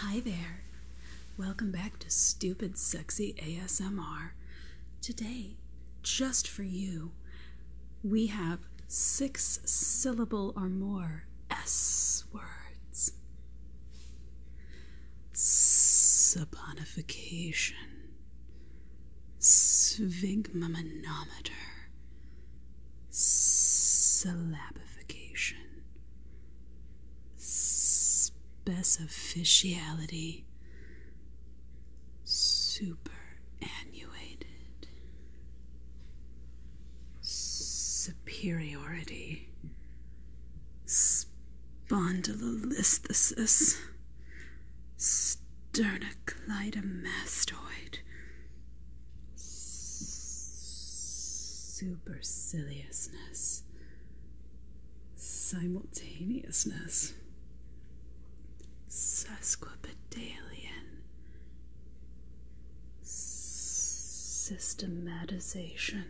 Hi there. Welcome back to Stupid Sexy ASMR. Today, just for you, we have six syllable or more S words. Saponification sphygmomanometer, syllabification, specificiality, superannuated, superiority, spondylolisthesis. Sternocleidomastoid. Superciliousness. Simultaneousness. Sesquipedalian. Systematization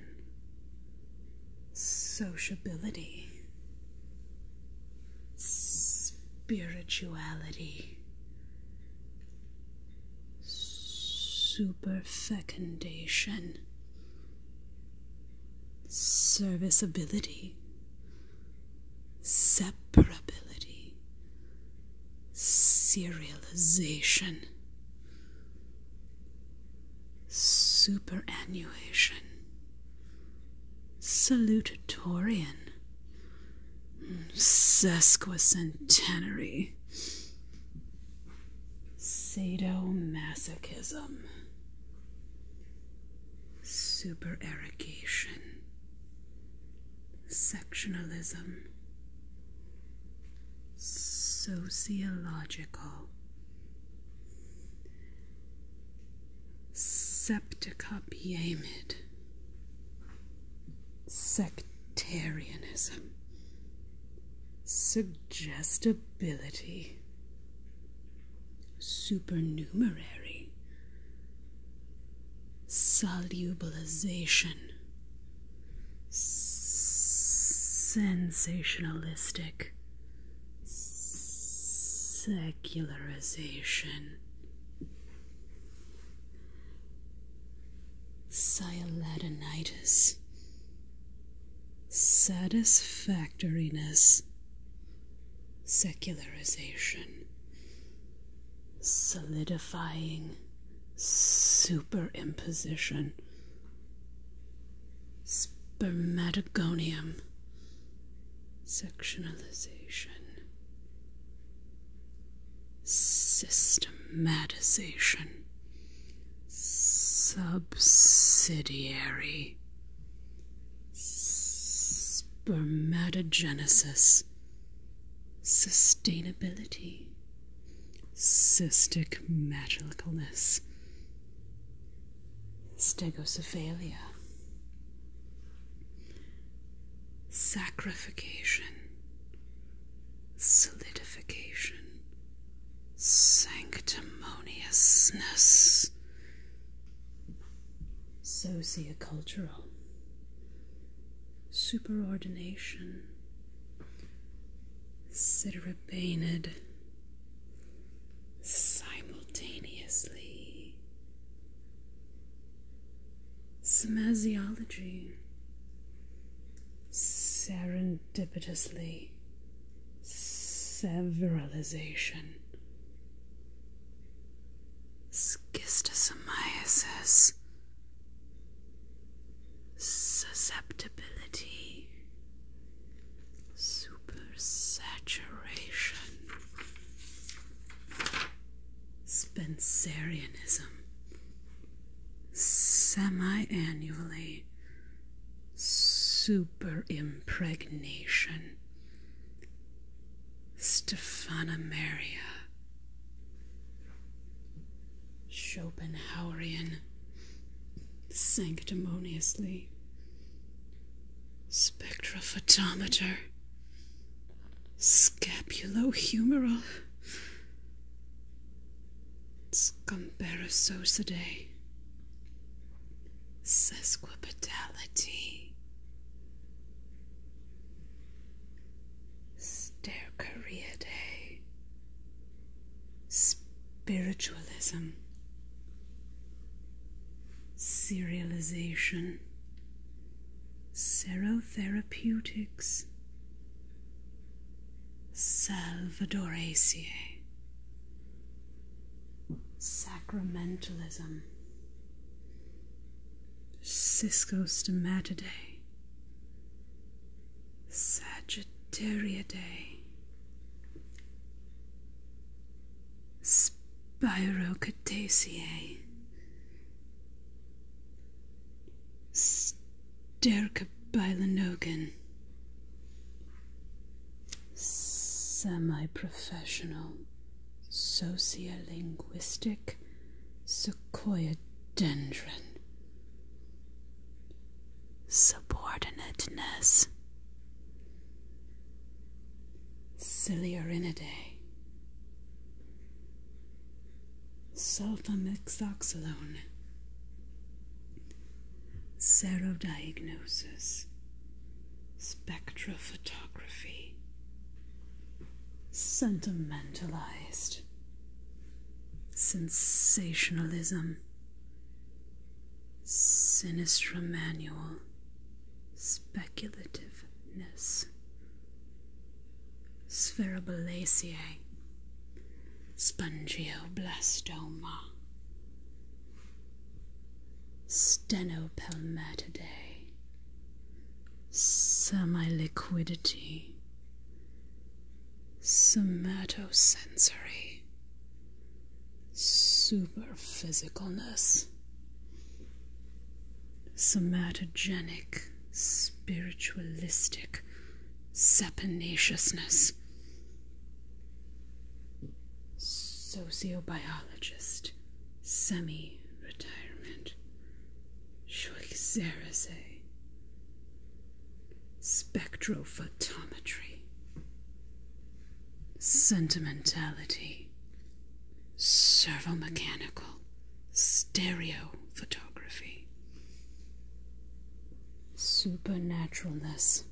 sociability, spirituality, superfecundation, serviceability, separability, serialization, superannuation salutatorian, sesquicentenary, sadomasochism, supererogation, sectionalism, sociological. Septicopiamid. Sectarianism. Suggestibility. Supernumerary. Solubilization. sensationalistic secularization, Sialatinitis, satisfactoriness, secularization, solidifying, superimposition, spermatogonium sectionalization, systematization, subsidiary, spermatogenesis, sustainability, cystic matter stegocephalia, sacrification, solidification, sanctimoniousness, sociocultural, superordination, ceterobanid, simultaneously. Smasiology serendipitously severalization schistosomiasis susceptibility supersaturation, Spencerianism, semi-annually, superimpregnation, Stephanomeria, Schopenhauerian, sanctimoniously. Spectrophotometer. Scapulohumeral. Scomberosocidae. Sesquipedality. Stercariidae spiritualism, serialization, serotherapeutics, salvadoraceae, sacramentalism, ciscostomatidae, sagittariidae, Spirocataceae. Stercobilinogen. Semi-professional. Sociolinguistic. Sequoia Subordinateness. Ciliarinidae, sulfamethoxalone, serodiagnosis, spectrophotography, sentimentalized, sensationalism, sinistra manual, speculativeness, spherobalaceae, spongioblastoma, stenopelmatidae, semiliquidity, somatosensory super physicalness, somatogenic, spiritualistic saponaciousness. Sociobiologist, semi retirement, Schweitzerese, spectrophotometry, sentimentality, servomechanical, stereophotography, supernaturalness,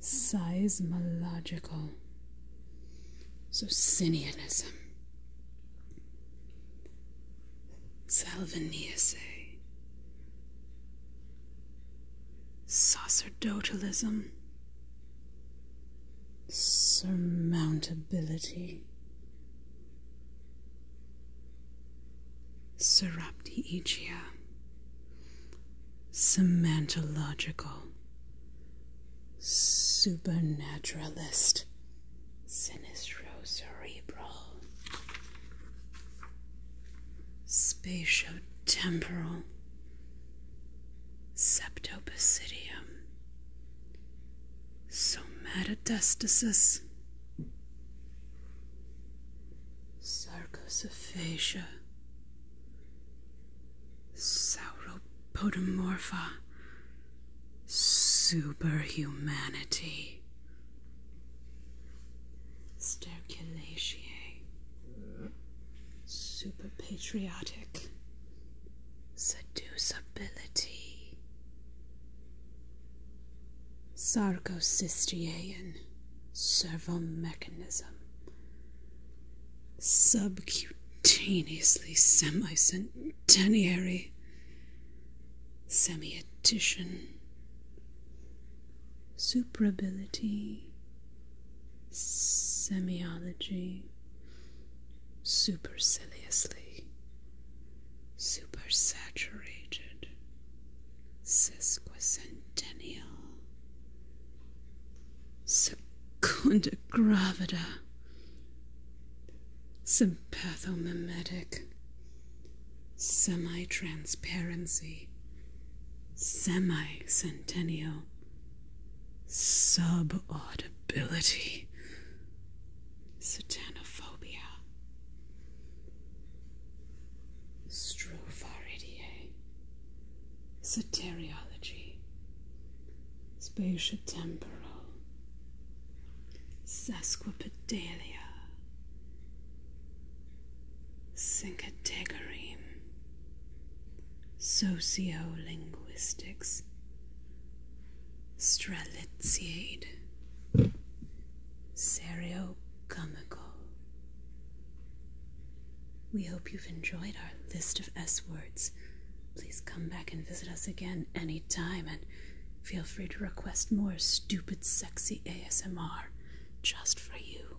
seismological, Socinianism, Salviniace, sacerdotalism surmountability, Seraptiigia, semantological, supernaturalist, sinistro spatio-temporal. Septopicidium, Somatodestasis, Sarcosophagia, Sauropodomorpha, Superhumanity, Sterculaceae. Super patriotic. Seducibility. Sarcocystian. Servo mechanism. Subcutaneously semicentenary. Semietition. Suprability semiology superciliously supersaturated sesquicentennial secunda gravida sympathomimetic semi-transparency semi-centennial Subaudibility. Satanophobia. Stropharidie. Soteriology. Spatiotemporal. Sesquipedalia. Syncategoreem. Sociolinguistics. Strelitziade. Seriocomical. We hope you've enjoyed our list of S words. Please come back and visit us again any time, and feel free to request more stupid, sexy ASMR just for you.